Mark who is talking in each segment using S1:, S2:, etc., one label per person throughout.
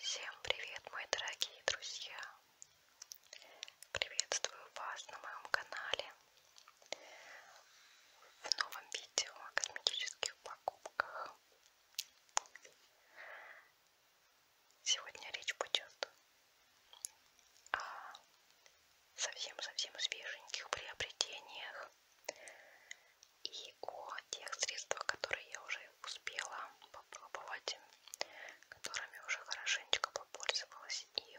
S1: Всем привет, мои дорогие друзья! Приветствую вас на моем канале в новом видео о косметических покупках. Сегодня речь пойдет о совсем-совсем свеженьких приобретениях и о тех средствах, которые я уже успела попробовать, которыми уже хорошенечко попользовалась и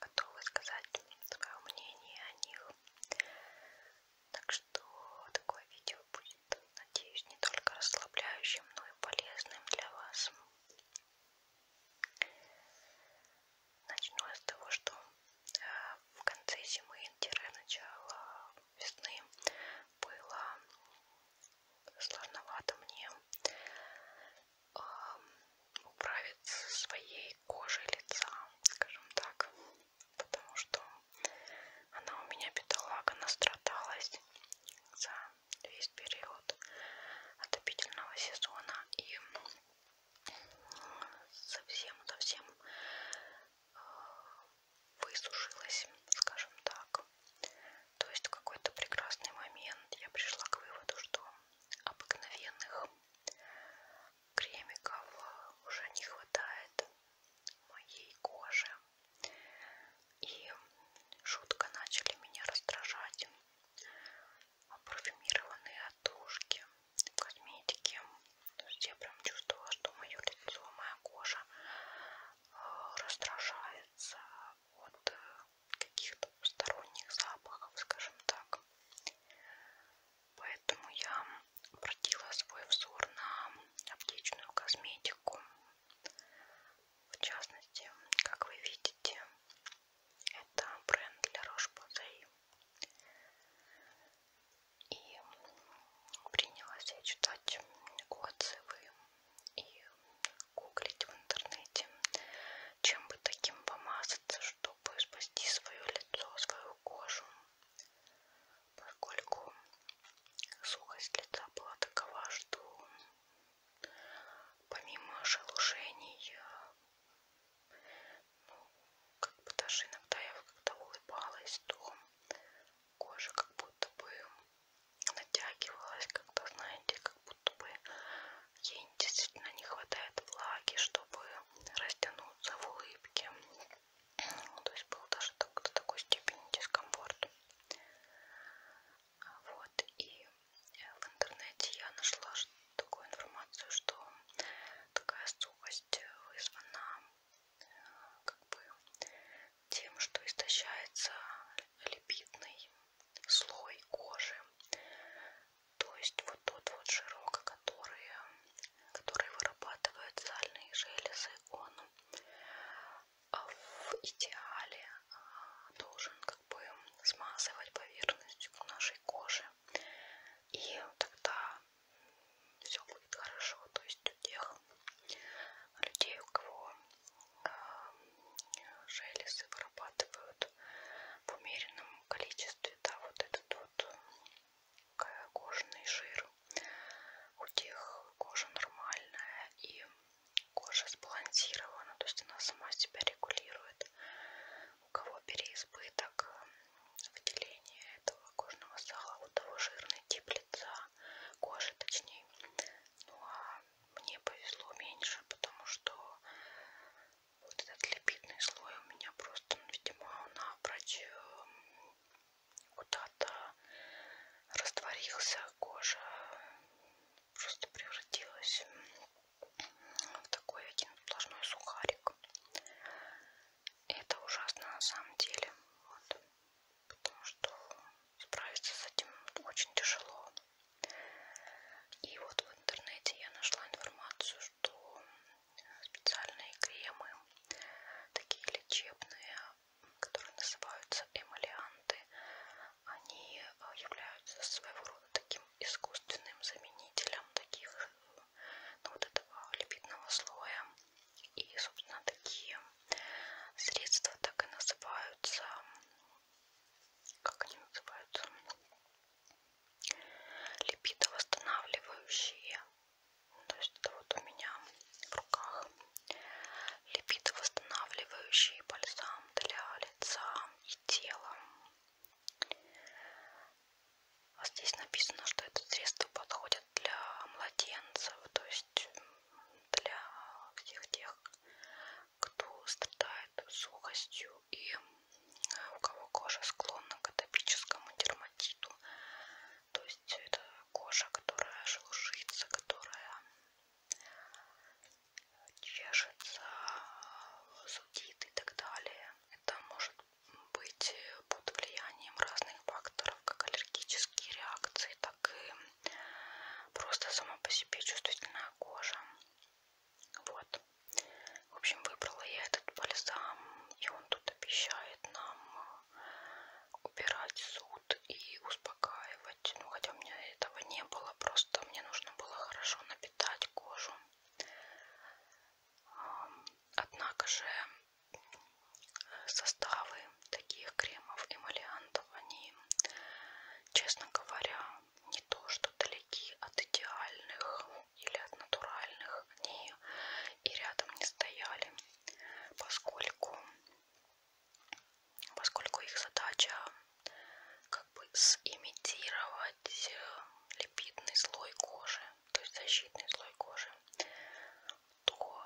S1: готова сказать свое мнение о них. Так что такое видео будет будет, надеюсь, не только расслабляющим, но и полезным для вас. Начну с того, что э, в конце зимы, начало весны было сложновато мне управиться своей кожей лица, скажем так, потому что она у меня бедолага настрадалась за весь период отопительного сезона и совсем-совсем э, высушилась, скажем так. То есть в какой-то прекрасный момент я пришла к выводу, что обыкновенных кремиков уже не хватает моей коже. И жутко начали меня раздражать парфюмированные отдушки косметики. То есть я прям чувствовала, что мое лицо, моя кожа э, раздражается от э, каких-то посторонних запахов, скажем так. Поэтому я обратила свой взор на аптечную косметику. В частности, как вы видите, это бренд для Roche-Posay. И принялась я читать отзывы и гуглить в интернете, чем бы таким помазаться, чтобы спасти свое лицо, свою кожу, поскольку сухость лица была такова, что Помимо шелушений, э, ну, как бы даже иногда я когда улыбалась, то кожа как будто бы натягивалась, как-то, знаете, как будто бы ей действительно не хватает влаги, чтобы растянуться в улыбке. Ну, то есть был даже до такой степени дискомфорт. Вот, и э, в интернете я нашла такую информацию, что такая сухость вызвана э, как бы тем, что истощается липидный слой кожи. То есть вот тот вот жирок, который, который вырабатывает сальные железы, он в идеале а, должен как бы смазывать поверхность нашей кожи. И тогда все будет хорошо. То есть у тех людей, у кого а, железы вырабатывают в умеренном количестве, да, вот этот вот э, кожаный жир, у тех кожа нормальная и кожа сбалансирована, то есть она сама себя регулирует. У кого переизбыток эм, выделения этого кожного сала, у того жирный тип лица, кожи точнее. Ну а мне повезло меньше, потому что вот этот липидный слой у меня просто, ну, видимо, напрочь эм, куда-то растворился, кожа просто превратилась в такой один сплошной сухарик. И это ужасно на самом деле. Вот. Потому что справиться с этим очень тяжело. И вот в интернете я нашла информацию, что специальные кремы, такие лечебные, которые называются эмалианты, они э, являются своего рода таким искусственным заменителем таких, э, ну, вот этого липидного слоя. И, собственно, такие средства так и называются, как они называются, липидовосстанавливающие. Ну, то есть это вот у меня в руках Липидовосстанавливающий бальзам для лица и тела. А здесь написано, что это средство подходит для младенцев, то есть для всех тех, кто страдает сухостью и э, у кого кожа склонна к атопическому дерматиту. То есть это кожа, которая шелушится, которая чешется, зудит и так далее. Это может быть э, под влиянием разных факторов, как аллергические реакции, так и просто сама по себе чувствительная кожа. Вот. В общем, выбрала я этот бальзам, и он тут обещает нам э, убирать зуд и успокаивать использовать. Ну, хотя у меня этого не было, просто мне нужно было хорошо напитать кожу. Однако же составы таких кремов, эмалиантов, они, честно говоря, не то, что далеки от идеальных или от натуральных, они и рядом не стояли, поскольку поскольку их задача как бы симитировать э, липидный слой кожи, то есть защитный слой кожи, то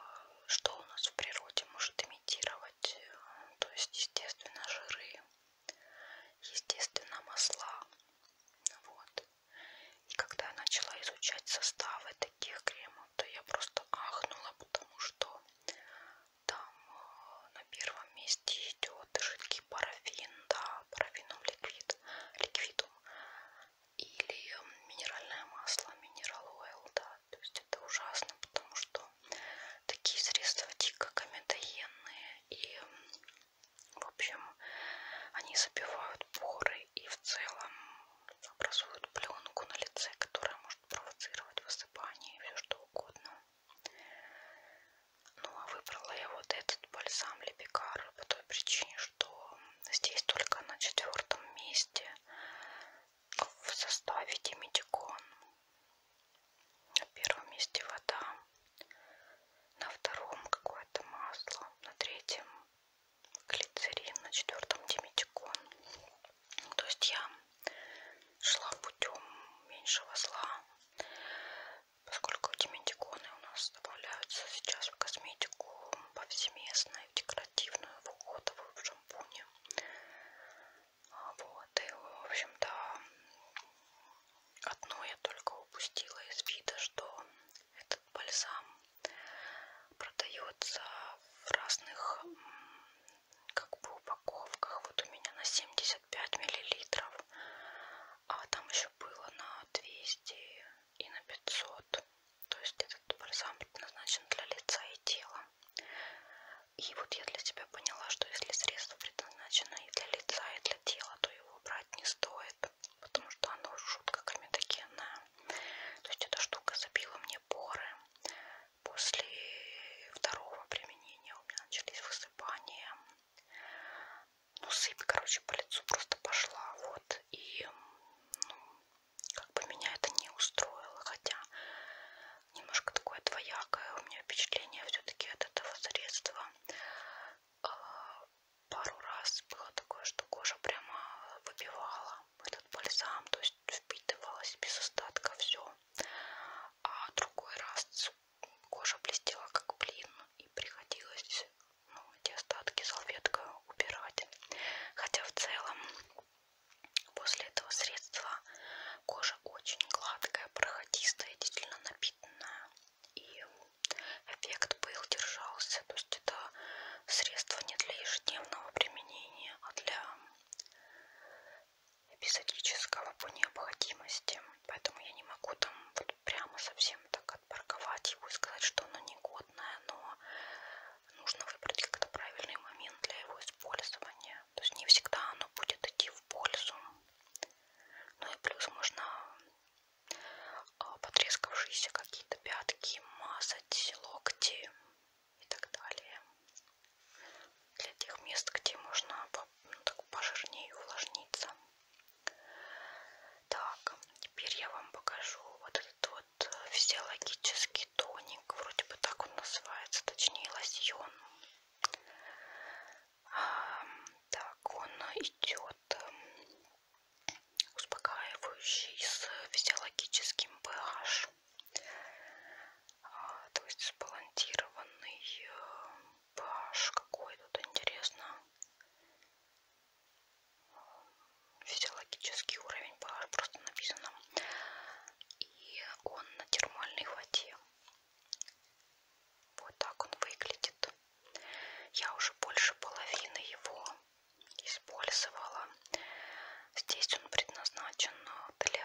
S1: что у нас в природе может имитировать, э, то есть естественно жиры, естественно масла. Вот. И когда я начала изучать составы таких кремов, то я просто ахнула, потому что там э, на первом месте идет жидкий парафин, да, парафином ликвид, ликвидум. Или минеральное масло, минерал ойл, да. То есть это ужасно, потому что такие средства дико комедоенные и, в общем, они забивают поры и в целом образуют пленку на лице, которая может может провоцировать высыпание и все что угодно. Ну а выбрала я вот этот бальзам Лепикар по той причине, что здесь только на четвертом месте в составе Димитикон. На первом месте вода, на втором какое-то масло, на третьем глицерин, на четвертом диметикон. То есть я шла путем меньшего зла, поскольку эти ментиконы у нас добавляются сейчас в косметику повсеместно, в декоративную, в уходовую, в шампуне. А, вот, и, в общем-то, одно я только упустила из вида, что этот бальзам продается в разных как бы упаковках. Вот у меня на 75 миллилитров, а там еще было на 200 и на 500. То есть этот бальзам предназначен для лица и тела. И вот я для себя поняла, что если средство предназначено и для лица, и для тела, то его брать не стоит, потому что оно жутко комедогенное. То есть эта штука забила мне поры, После второго применения у меня начались высыпания. Ну, сыпь, короче, по лицу просто пошла. Вот. И ну, как бы меня это не устроило. Хотя немножко такое двоякое у меня впечатление все-таки от этого средства. А, пару раз было такое, что кожа прямо выбивала этот бальзам, то есть впитывалась без остатка все а другой раз кожа блестела как блин и приходилось ну, эти остатки салфеткой убирать. Хотя в целом после этого средства кожа очень гладкая, проходистая, действительно напитанная. И эффект был, держался. То есть это средство не для ежедневного применения, а для эпизодического по необходимости, поэтому я не могу там вот прямо совсем так отпарковать его и сказать, что оно негодное, но нужно выбрать как-то правильный момент для его использования. То есть не всегда оно будет идти в пользу. Ну и плюс можно а, потрескавшиеся какие-то пятки мазать, локти, и так далее. Для тех мест, где можно ну, так пожирнее увлажниться. Так, теперь я вам покажу вот этот вот э, физиологический тоник. Вроде бы так он называется, точнее лосьон. А, так, он идет эм, успокаивающий с физиологическим pH. А, то есть сбалансированный pH э, какой тут интересно физиологический уровень pH просто написано и он на термальной воде вот так он выглядит я уже больше половины его использовала здесь он предназначен для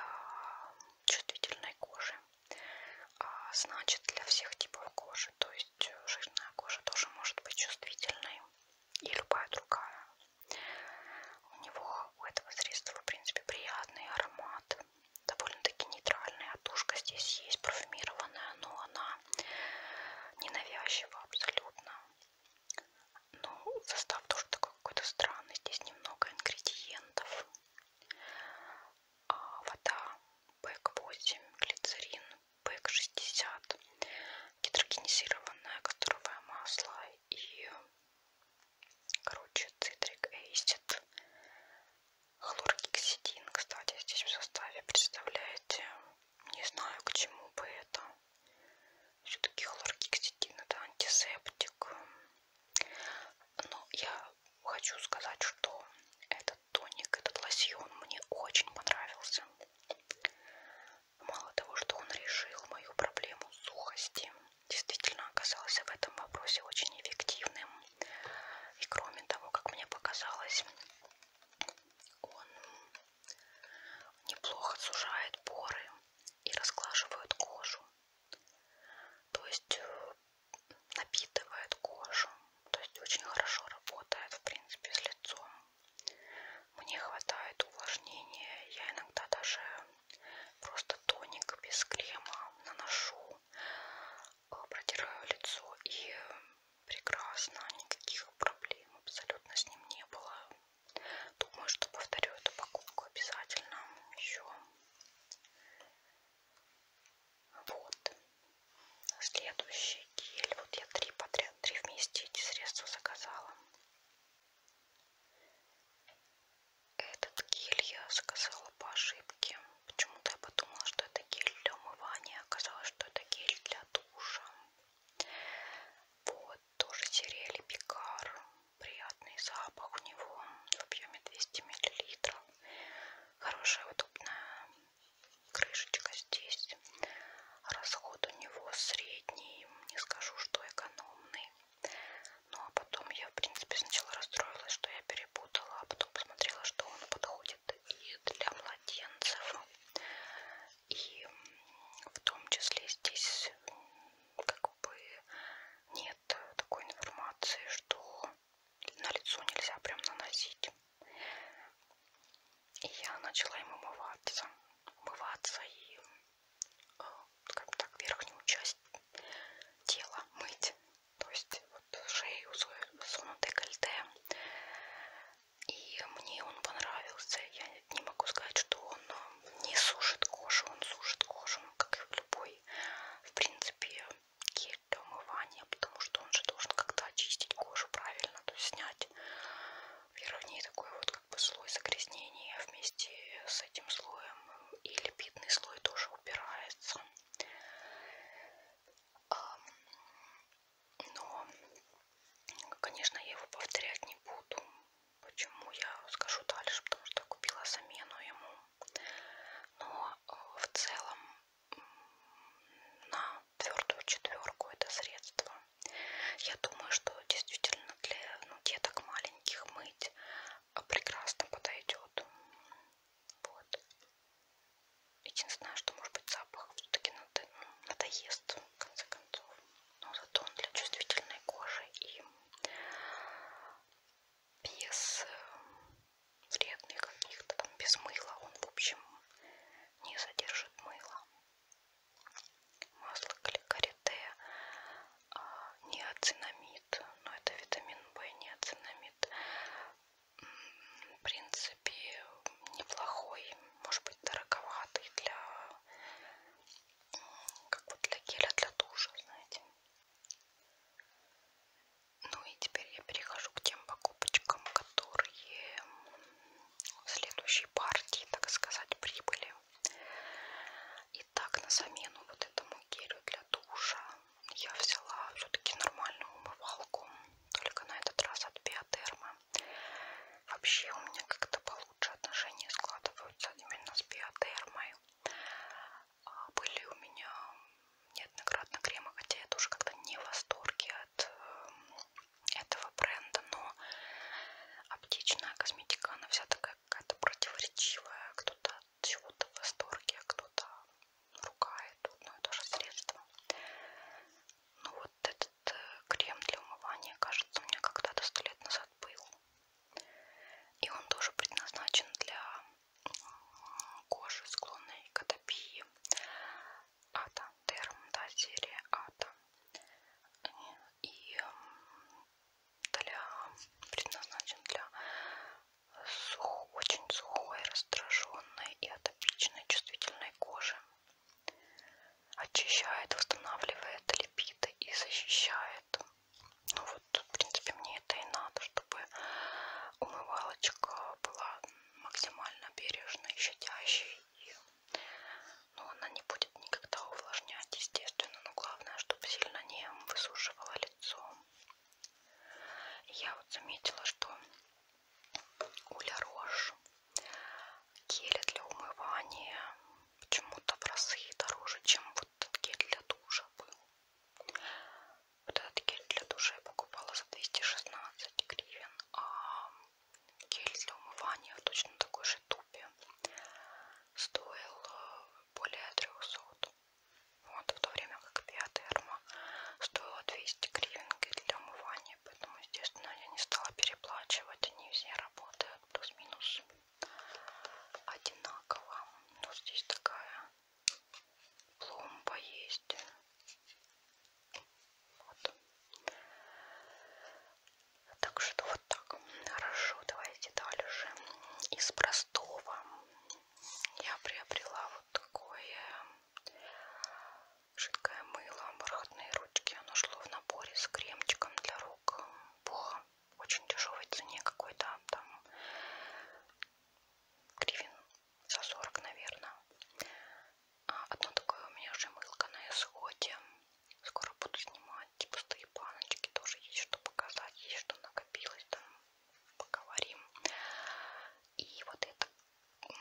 S1: чувствительной кожи. А значит, для всех типов кожи, то есть э, жирная кожа тоже может быть чувствительной и любая другая. У него, у этого средства, в принципе, приятный аромат, довольно-таки нейтральный. Отушка а здесь есть, парфюмированная, но она ненавязчива абсолютно. Ну, состав тоже такой какой-то странный. Здесь немного ингредиентов. А, вода ПЭК-8, глицерин ПЭК-60, гидрогенизированное касторовое масло и, короче, цитрик эйсид, хлоргексидин, кстати, здесь в составе, представляете, не знаю, к чему бы это. Все-таки хлоргексидин это антисептик, но я хочу сказать, что этот тоник, этот лосьон мне очень понравился. Мало того, что он решил мою проблему сухости, действительно оказался в этом вопросе очень эффективным. И кроме того, как мне показалось, он неплохо сужает поры и расглаживает кожу то есть э, напитывает кожу, то есть очень хорошо работает в принципе с лицом. Мне хватает увлажнения, я иногда даже просто тоник без крема наношу, э, протираю лицо и э, прекрасно, никаких проблем абсолютно с ним не было. Думаю, что повторю эту покупку обязательно еще вот. Следующий гель. Вот я три подряд, три вместе эти средства заказала. Этот гель я заказала по ошибке. Почему-то я подумала, что это гель для умывания. Оказалось, что это гель для душа. Вот, тоже серия Лепикар приятный запах у него в объеме 200 миллилитров. Хорошая удобная крышечка здесь. Расход у него средний, не скажу, что экономный. Ну а потом я, в принципе, сначала расстроилась, что я перепутала, а потом посмотрела, что он подходит и для младенцев. И в том числе здесь, как бы нет такой информации, что на лицо нельзя прям наносить. И я начала им умываться, умываться и, э, как так, верхнюю часть тела мыть, то есть вот шею, зону декольте. И мне он понравился. Я не могу сказать, что он э, не сушит кожу, он сушит кожу, ну, как и любой в принципе, гель для умывания, потому что он же должен как-то очистить кожу правильно, то есть снять верхний такой вот как бы слой загрязнения вместе с этим слоем и липидный слой тоже убирается. Но, конечно, я его повторять не буду. Почему я скажу дальше? Потому что купила замену ему. Но э, в целом на твердую четверку это средство. Я думаю, что действительно для ну, деток маленьких мыть а, прекрасно подойдет. Вот. Единственное, что может быть запах все-таки ну, надоест, в конце концов. Но зато он для чувствительной кожи и без э, вредных каких-то, там без мыла он, в общем, не содержит мыла. Масло карите, а, неоцинамид, но это витамин В, неоцинамид, в принципе, неплохой, может быть, дороговатый для, как вот для геля для душа, знаете. Ну и теперь я перехожу к тем покупочкам, которые в следующей партии, так сказать, прибыли. Итак, на замену вот этому гелю для душа я взяла все-таки нормальную умывалку, только на этот раз от биотерма. Вообще у меня как-то получше отношения складываются именно с биотермой. А были у меня неоднократно кремы, хотя я тоже как-то не в восторге от эм, этого бренда, но аптечная косметика, она вся такая какая-то противоречивая, кто-то от чего-то в восторге, а кто-то ругает одно и то же средство. Ну вот этот э, крем для умывания, кажется, у меня когда-то сто лет назад был. И он тоже предназначен для кожи, склонной к атопии. Атом, терм, да, серия атом. И для, предназначен для сух, очень сухой, раздраженной и атопичной чувствительной кожи. Очищает, восстанавливает липиды и защищает ну вот, в принципе, мне это и надо, чтобы умывалочка была максимально бережной, щадящей. И, ну, она не будет никогда увлажнять, естественно, но главное, чтобы сильно не высушивала лицо. Я вот заметила, что Уля Рош гели для умывания почему-то в разы дороже, чем вот гель для душа был. Вот этот гель для душа я покупала за 216 гривен, а гель для умывания в точно такой же тупе стоил э, более 300. Вот в то время как биотерма стоила 200 гривен гель для умывания, поэтому, естественно, я не стала переплачивать, они все работают плюс-минус одинаково. Но ну, здесь такая пломба есть. Вот. Так что вот так. Хорошо, давайте дальше. Из простого я приобрела вот такое жидкое мыло, бархатные ручки. Оно шло в наборе с кремчиком для рук по очень дешевой цене какой-то там гривен за 40, наверное. А, одно такое у меня уже мылко на исходе. Скоро буду снимать пустые типа, баночки. Тоже есть что показать, есть что накопилось. Там поговорим. И вот это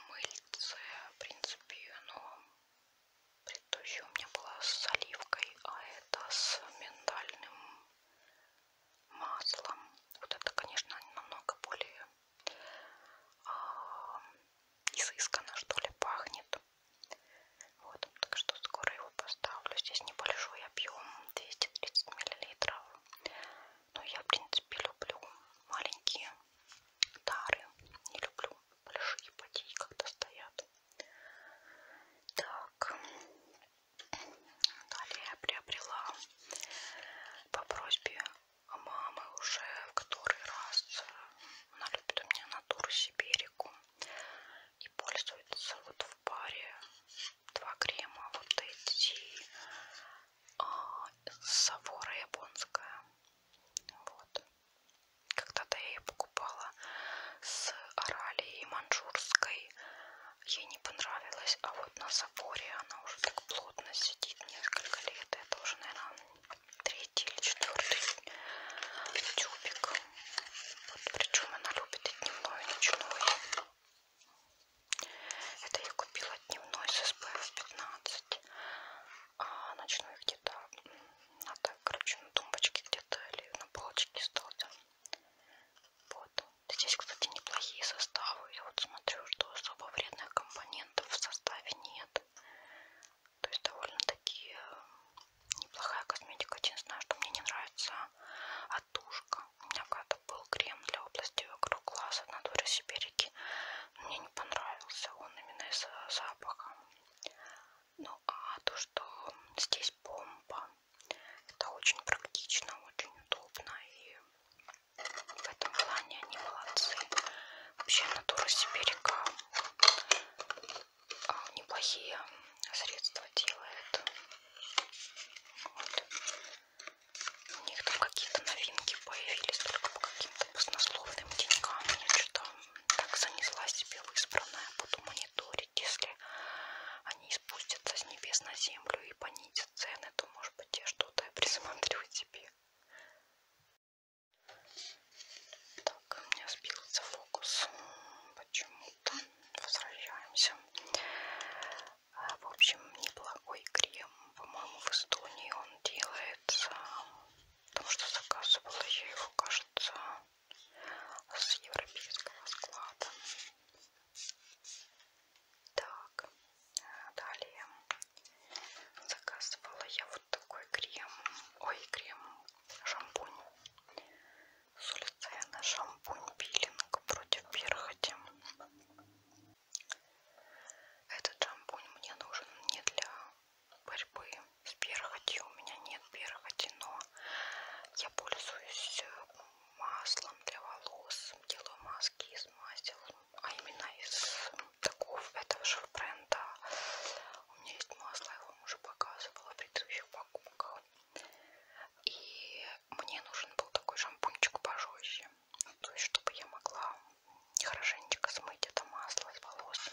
S1: мыльце, в принципе, оно предыдущее у меня было с оливкой, а это с миндальным маслом. Вот это, конечно, намного более а, изысканно, что ли, пахнет. Вот, так что скоро его поставлю. Здесь небольшой объем, 230 миллилитров. Но я, в принципе, люблю маленькие дары. Не люблю большие потеи, когда стоят. Так, Далее я приобрела по просьбе мамы уже в который раз. Она любит у меня натуру Сибирику и пользуется вот в паре два крема вот эти а, Савора японская. Вот. Когда-то я ее покупала с орали и манчжурской ей не понравилось, а вот на заборе она уже так плотно сидит несколько лет. Это уже, наверное, третий или четвертый тюбик. Вот, причем она любит и дневной, и ночной. Это я купила дневной с SPF 15, а ночной где-то надо, короче, на тумбочке где-то или на полочке стал. Вот. Здесь, кстати, неплохие составы. Я вот смотрю, что особо вредных компонентов в составе нет. То есть довольно-таки э, неплохая косметика. Единственное, знаю, что мне не нравится отушка. У меня когда-то был крем для области вокруг глаз от натуры Сибирики. Мне не понравился он именно из-за запаха. Ну а то, что здесь бомба, это очень практично, очень удобно и в этом плане они молодцы. Вообще натура Сибирика а, неплохие средства делает. Вот. У них там какие-то новинки появились только по каким-то баснословным деньгам. Я что-то так занесла себе в избранное. Буду а мониторить, если они спустятся с небес на землю и понизят цены, то, может быть, я что-то присмотрю тебе. Так, у меня сбился фокус. Почему-то возвращаемся. А, в общем, неплохой крем. По-моему, в Эстонии он делается. Потому что заказывала я его, кажется, с европейского склада. Так, далее заказывала я вот такой крем, ой, крем, шампунь. Сульцена шампунь пилинг против перхоти. Этот шампунь мне нужен не для борьбы с перхотью, у меня нет перхоти, но я пользуюсь э, маслом для волос, делаю маски из масел, а именно из такого этого же бренда. У меня есть масло, я вам уже показывала в предыдущих покупках. И мне нужен был такой шампунчик пожестче, то есть чтобы я могла хорошенечко смыть это масло с волос.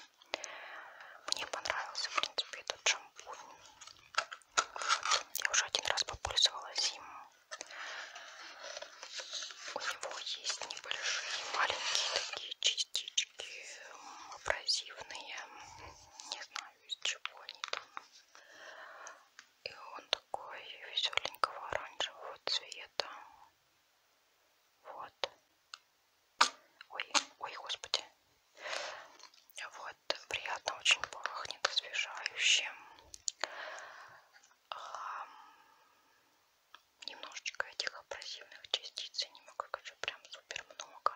S1: Мне понравился, в принципе, этот шампунь. Вот. Я уже один раз попользовалась им. У него есть небольшие маленькие такие частички абразивные. Не знаю, из чего они там. И он такой веселенького оранжевого цвета. Вот. Ой, ой, господи. Вот, приятно очень пахнет освежающим. А, немножечко этих абразивных частиц, немного хочу прям супер много.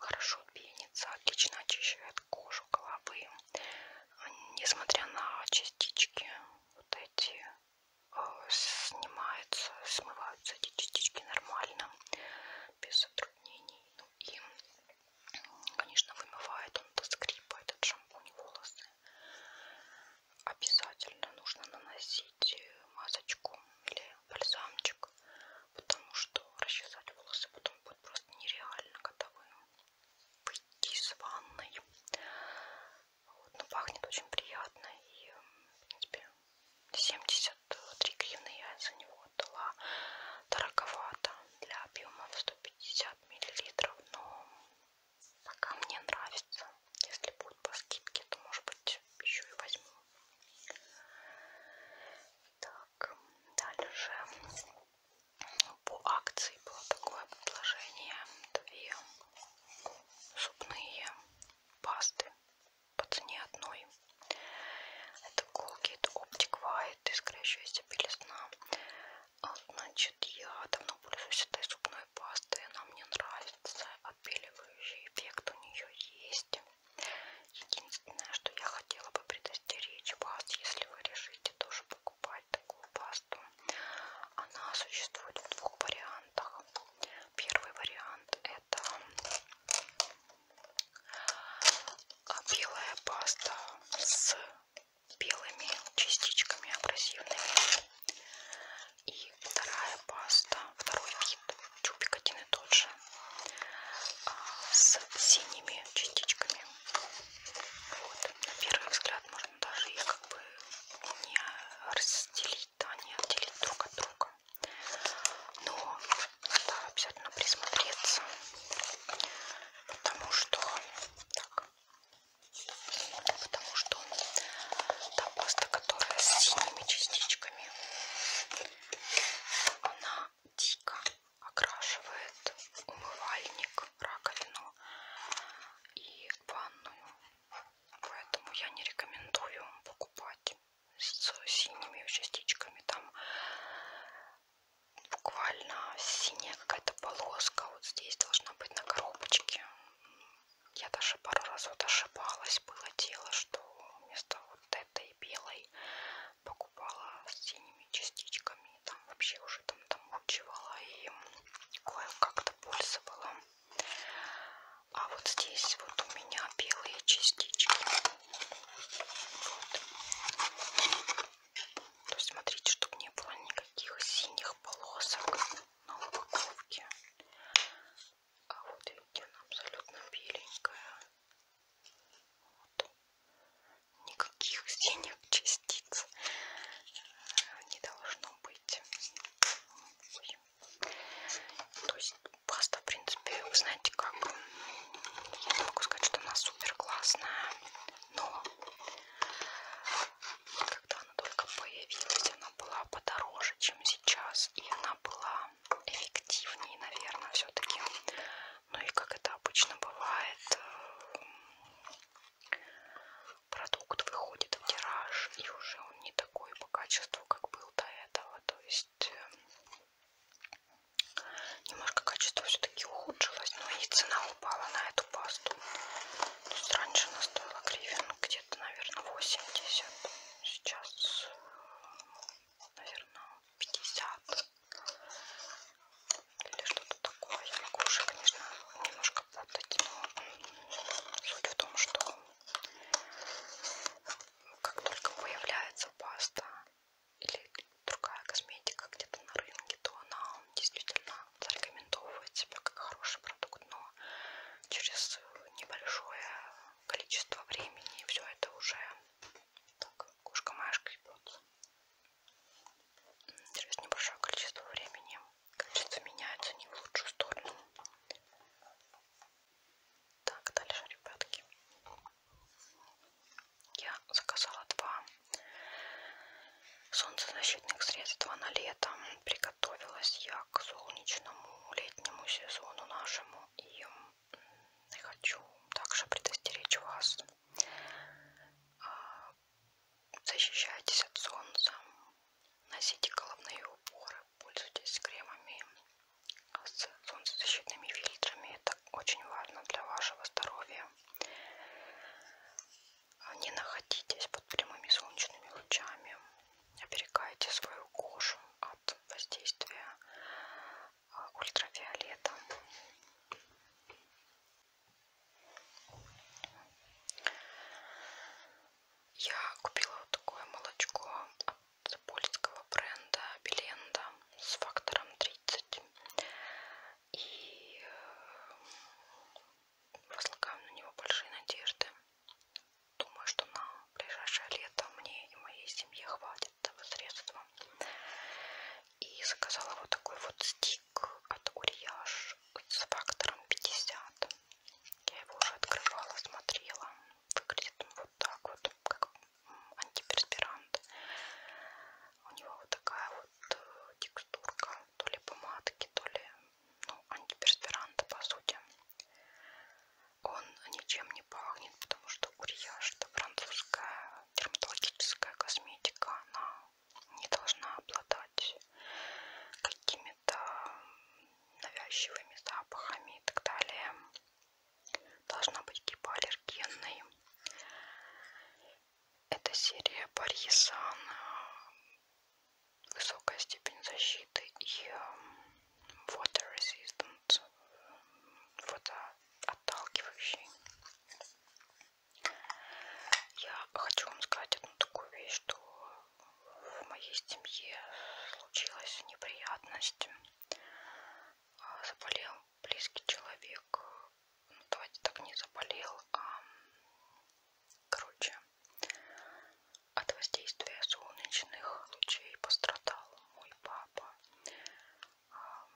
S1: Хорошо пенится, отлично очищает кожу головы. Несмотря на частички, вот эти э, снимаются, смываются эти частички нормально, без затруднений. Ну и Конечно, вымывает он до скрипа этот шампунь волосы. Обязательно нужно наносить э, масочку или бальзамчик, потому что расчесать волосы потом будет просто нереально, когда вы выйдете из ванной. Вот, но ну, пахнет очень приятно и, э, в принципе, 73 гривны я за него отдала дороговато для объема в 150 миллилитров, но пока мне нравится. Если будет по скидке, то может быть еще и возьму. Так, дальше по акции было такое предложение. Две зубные пасты по цене одной. Это Colgate Optic сайт искрящаяся белизна. Значит, я давно пользуюсь этой зубной пастой, она мне нравится, отбеливающий эффект у нее есть. Единственное, что я хотела бы предостеречь вас, если вы решите тоже покупать такую пасту, она существует в двух вариантах. Первый вариант это а белая паста с белыми частичками абразивными. И вторая паста, второй вид, чубик один и тот же, а, с синими частичками. Вот, на первый взгляд можно даже их как бы не разделить, да, не отделить друг от друга. Но надо обязательно присмотреться, потому что так, потому что та паста, которая с синими частичками, она дико окрашивает умывальник, раковину и ванную, поэтому я не рекомендую покупать с синими частичками там буквально синяя какая-то полоска вот здесь должна быть на коробочке. Я даже пару раз вот ошибалась, было дело, что вместо вот этой белой покупала с синими частичками, там вообще уже там домучивала и кое-как-то пользовала. А вот здесь вот у меня белые частички. Вот. То есть смотрите, чтобы не было никаких синих полосок на упаковке. А вот видите, она абсолютно беленькая. Вот. Никаких синих частиц э, не должно быть. То есть паста, в принципе, вы знаете как, я не могу сказать, что она супер классная, но когда она только появилась, она была подороже, чем сейчас, и она была эффективнее, наверное, все-таки. Ну и как это обычно бывает, э, продукт выходит в тираж, и уже он не такой по качеству, как был до этого, то есть э, Немножко качество все-таки ухудшилось, но и цена упала на эту пасту. То есть раньше она стоила гривен где-то, наверное, 80. Сейчас, наверное, 50. Или что-то такое. Я могу уже, конечно, немножко путать, но суть в том, что как только появляется паста, или другая косметика где-то на рынке, то она действительно зарекомендовывает себя как хороший продукт, но через небольшое количество времени все это уже так, кошка-машка идет. Через небольшое количество времени качество меняется не в лучшую сторону. Так, дальше, ребятки. Я заказала два солнцезащитных средства на лето. Приготовилась я к солнечному летнему сезону нашему. И хочу также предостеречь вас. А, защищайтесь от солнца. Носите головные уборы. Пользуйтесь кремами с солнцезащитными фильтрами. Это это очень важно для вашего здоровья. Не находитесь под прямыми солнечными лучами, оберегайте свою кожу от воздействия а, ультрафиолета. Я купила вот такое молочко от польского бренда Беленда с фактором 30. И э, возлагаю на него большие надежды. Думаю, что на ближайшее лето мне и моей семье хватит этого средства. И заказала вот такой вот стик от Uriage с фактором 50. Я его уже открывала, смотрела. Выглядит он вот так вот, как антиперспирант. У него вот такая вот э, текстурка то ли помадки, то ли ну, антиперспиранта по сути. Он ничем не пахнет, потому что Урияж это французская дерматологическая косметика, она не должна обладать какими-то навязчивыми запахами и так далее. Должна быть гипоаллергенной. Это серия Парьесан высокая степень защиты и эм, water resistant, эм, водоотталкивающий. Я хочу вам сказать одну такую вещь, что в моей семье случилась неприятность. А, заболел близкий человек, ну давайте так, не заболел, а, короче, от воздействия солнечных лучей пострадал мой папа. А,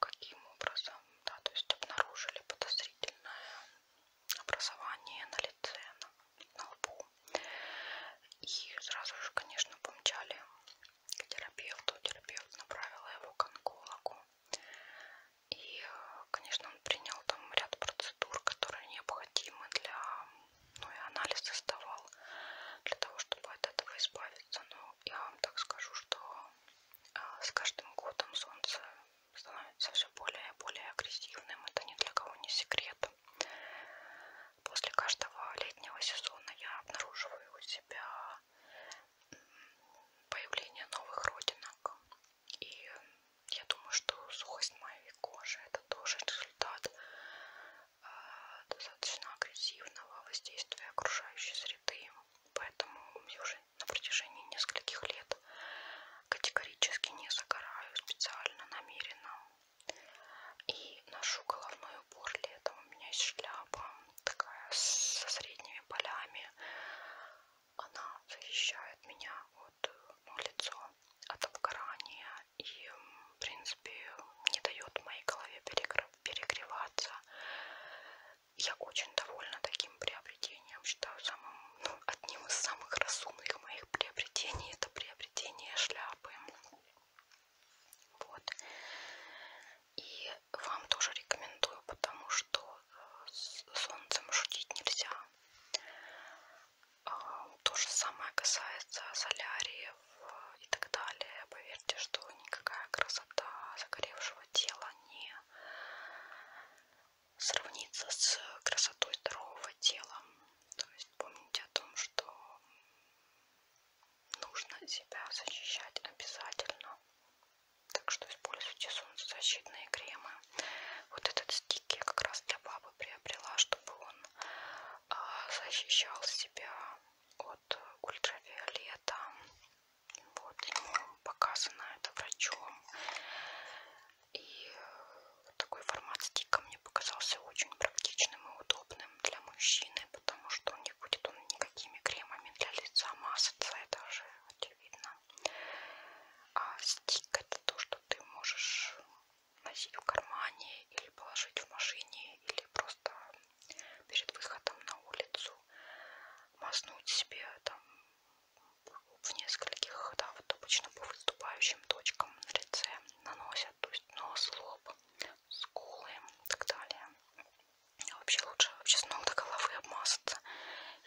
S1: каким образом, да, то есть обнаружили подозрительное образование на лице, на, на лбу. И сразу же, конечно, помчали к терапевту. Терапевт направила его к онкологу. И, конечно, он принял там ряд процедур, которые необходимы для, ну и анализы сдавал для того, чтобы от этого избавиться. Но я вам так скажу, что а, с каждым годом солнце становится все более и более агрессивным. Это ни для кого не секрет. После каждого летнего сезона я обнаруживаю у себя появление новых родинок. И э, я думаю, что сухость моей кожи это тоже результат э, достаточно агрессивного воздействия окружающей среды. Поэтому я уже на протяжении нескольких лет категорически не загораю специально, намеренно. И ношу головной убор летом. У меня есть шляпа такая со средней синими полями. Она защищает меня от э, ну, лицо от обгорания и, в принципе, не дает моей голове перегреваться. Я очень довольна таким приобретением. Считаю самым, ну, одним из самых разумных моих приобретений это приобретение шляпы. Вот. И вам тоже рекомендую, потому что э, с солнцем шутить нельзя. А, то же самое касается соляриев э, и так далее. Поверьте, что никакая красота загоревшего тела не сравнится с красотой здорового тела. То есть помните о том, что нужно себя защищать обязательно. Так что используйте солнцезащитные кремы. Вот этот стик я как раз для бабы приобрела, чтобы он а, защищал себя от ультравиолета. Вот ему показано это врачом. И такой формат стика мне показался очень практичным и удобным для мужчины, потому что у них будет он никакими кремами для лица мазаться. Это же будет видно. А стик это то, что ты можешь носить в кармане или положить в машине, или просто перед выходом на улицу мазнуть себе там в нескольких, да, вот обычно по выступающим точкам на лице наносят, то есть нос, лоб, скулы и так далее. Вообще лучше вообще с ног до головы обмазаться,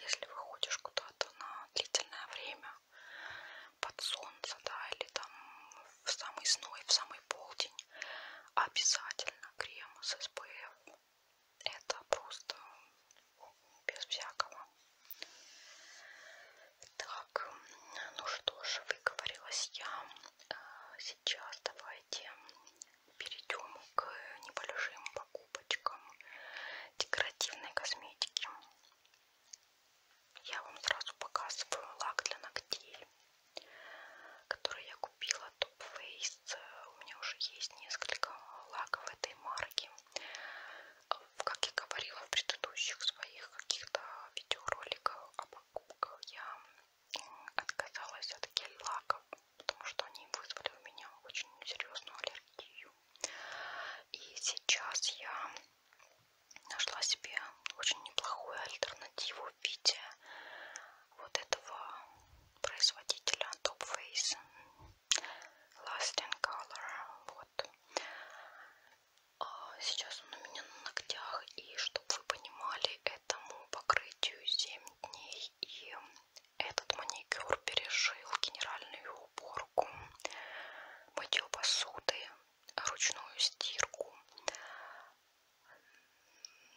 S1: если выходишь куда-то на длительное время под солнце, да, или там в самый сной, в самый полдень. Обязательно крем с SPF. Это просто без всякого. Так, ну что же, выговорилась я. Э, сейчас давайте перейдем к небольшим покупочкам декоративной косметики. Я вам сразу показываю лак для ногтей, который я купила Top Face. У меня уже есть несколько лаков этой марки. Как я говорила в предыдущих своих каких-то видеороликах о а покупках, я отказалась от гель-лаков потому что они вызвали у меня очень серьезную аллергию. И сейчас я нашла себе очень неплохую альтернативу в виде вот этого производителя Top Face Lasting Color. Вот. А сейчас он у меня на ногтях, и чтобы вы понимали, этому покрытию 7 дней и этот маникюр пережил генеральную уборку, мытье посуды, ручную стирку,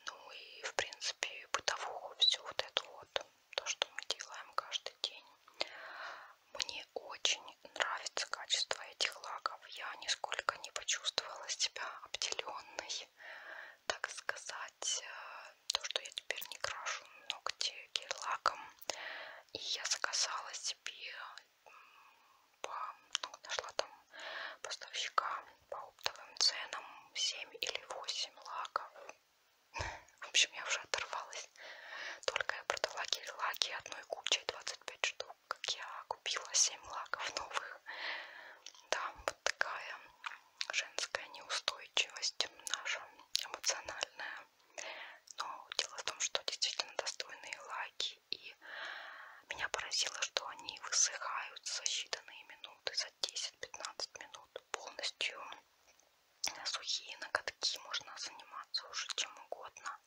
S1: ну и, в принципе, бытовуху, все вот это вот, то, что мы делаем каждый день. Мне очень нравится качество этих лаков. Я нисколько не почувствовала себя обделенной, так сказать, э, то, что я теперь не крашу ногти гель-лаком. И я заказала себе, по, ну, нашла там поставщика по оптовым ценам 7 или 8 лаков. В общем, я уже оторвалась. Только я продала гель-лаки одной кучей 25 штук, как я купила 7 лаков новых. Да, вот такая женская неустойчивость наша эмоциональная. Но дело в том, что действительно достойные лайки. И меня поразило, что они высыхают за считанные минуты, за 10-15 минут полностью сухие ноготки, можно заниматься уже чем угодно.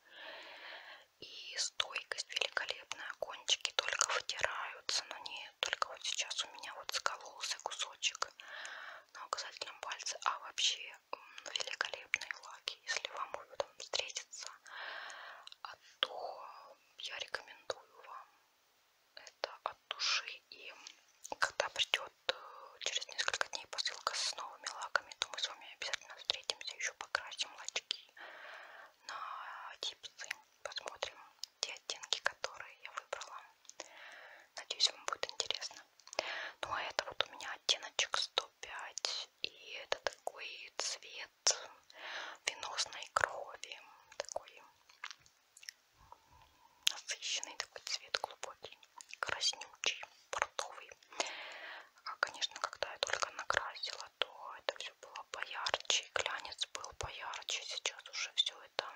S1: И стойкость великолепная, кончики только вытираются, но не нет. Только вот сейчас у меня вот скололся кусочек на указательном пальце. А вообще великолепные лаки. Если вам там встретится, а то я рекомендую вам это от души. И когда придет э, через несколько дней посылка с новыми лаками, то мы с вами обязательно встретимся, еще покрасим лачки на типсы, посмотрим, те оттенки, которые я выбрала. Надеюсь, вам будет интересно. Ну а это вот у меня оттеночек 105. И это такой цвет венозной крови. Такой насыщенный такой цвет, глубокий, краснючий, портовый. А, конечно, когда я только накрасила, то это все было поярче, глянец был поярче, сейчас уже все это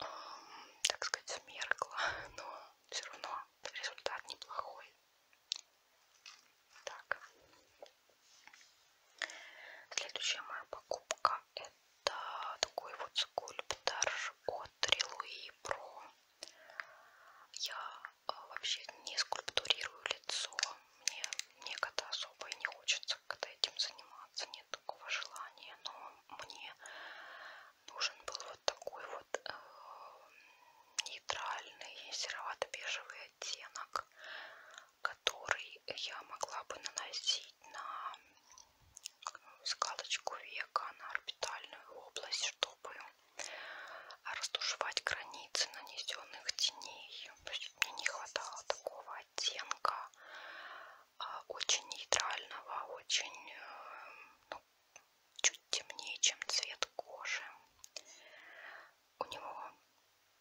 S1: эм, так сказать, смеркла, но все равно результат неплохой. Так. Следующая моя покупка это такой вот скульптор от Релуи Про. Я а, вообще не скульптурирую лицо, мне, мне когда особо и не хочется когда этим заниматься признаться, нет такого желания, но мне нужен был вот такой вот э, нейтральный серовато-бежевый оттенок, который я могла бы наносить на э, складочку века, на орбитальную область, чтобы растушевать границы нанесенных теней. То есть мне не хватало такого оттенка а, очень нейтрального, очень э, ну, чуть темнее, чем цвет кожи. У него,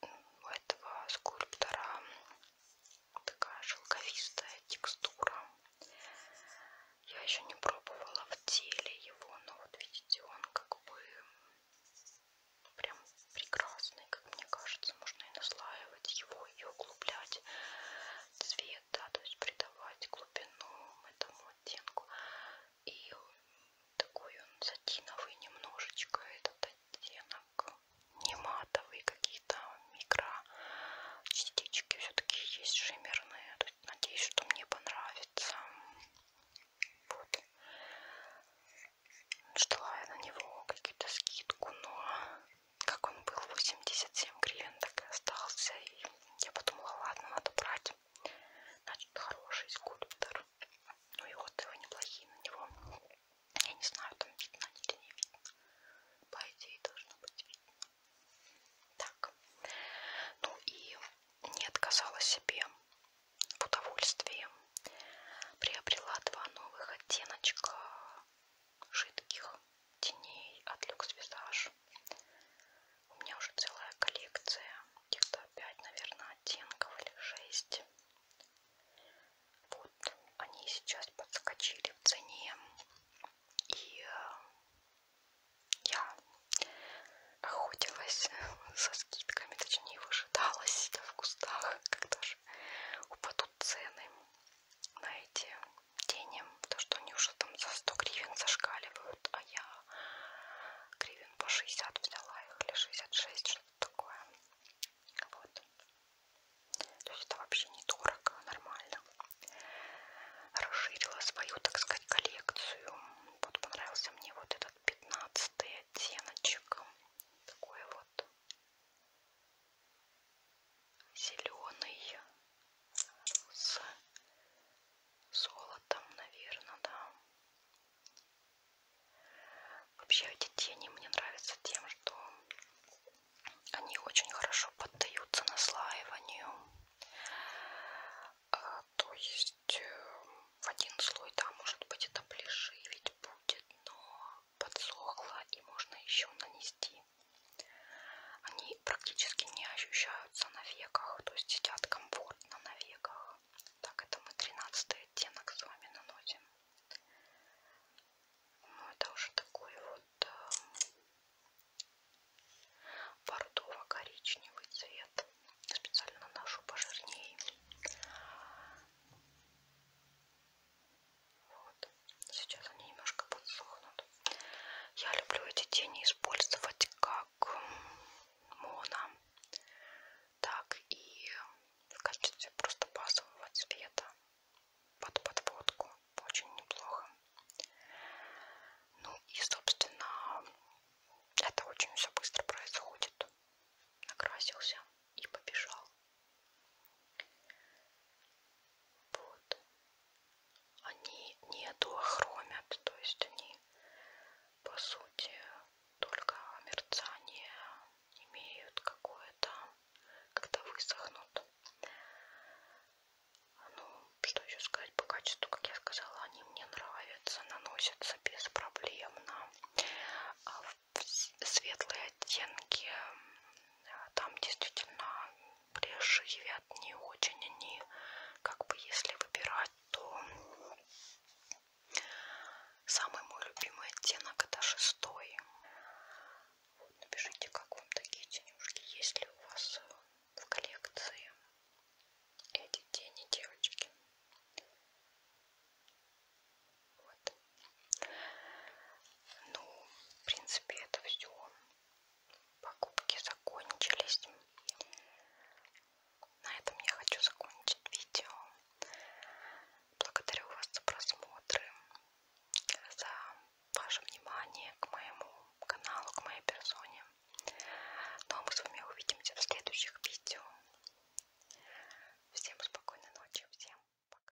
S1: у этого скульптора, такая шелковистая текстура. Я еще не пробовала в теле его, но вот видите, он как бы прям прекрасный, как мне кажется, можно и наслаивать его, и углублять цвет, да, то есть придавать глубину этому оттенку. И такой он сатиновый немножечко, этот оттенок, не матовый, какие-то микро частички все-таки есть шиммерные. То есть, надеюсь, что мне понравится. Вот ждала я на него какие-то скидку, но как он был 87 гривен, так и остался. И я подумала, ладно, надо брать. Значит, хороший скульптор. Ну и отзывы неплохие на него. Я не знаю, там видно или не видно. По идее должно быть видно. Так. Ну и не отказала себе в удовольствии. Приобрела два новых оттеночка жидких теней от Люкс Визаж. У меня уже целая коллекция, где-то 5, наверное, оттенков или 6. Вот они сейчас подскочили в цене. И э, я охотилась со скидками, точнее выжидалась в кустах, когда же упадут цены на эти тени, потому что они уже там за 100 гривен зашкаливают, а я гривен по 60 взяла их, или 66, что-то такое. Вот. То есть это вообще недорого, нормально. Расширила свою, так сказать, коллекцию. Вот понравился мне вот этот 15 оттеночек. Такой вот зеленый с золотом, наверное, да. Вообще эти тени мне нравятся тем, что они очень хорошо поддаются наслаиванию. А, то есть э, в один слой, да, может быть, это плешивить будет, но подсохла и можно еще нанести. Они практически не ощущаются на веках, то есть сидят комфортно на веках. Так, это мы 13 оттенок с вами наносим. Ну, это уже такой вот э, бордово-коричневый цвет. Я специально наношу пожирнее. Вот. Сейчас они немножко подсохнут. Я люблю эти тени использовать как моно, так и в качестве просто базового цвета под подводку. Очень неплохо. Ну и, собственно, это очень все быстро происходит. Накрасился и побежал. Вот. Они не дуохромят, то есть они по сути только мерцание имеют какое-то, когда высохнут. Ну, что еще сказать по качеству, как я сказала, они мне нравятся, наносятся беспроблемно. А в светлые оттенки э, там действительно плешивят не очень они как бы если выбирать то самый мой любимый оттенок это шестой вот, напишите как вам такие тенюшки есть ли у вас э, в коллекции эти тени девочки вот ну, в принципе, это все. Покупки закончились. На этом я хочу закончить видео. Благодарю вас за просмотры, за ваше внимание к моему каналу, к моей персоне. Ну а мы с вами увидимся в следующих видео. Всем спокойной ночи, всем пока.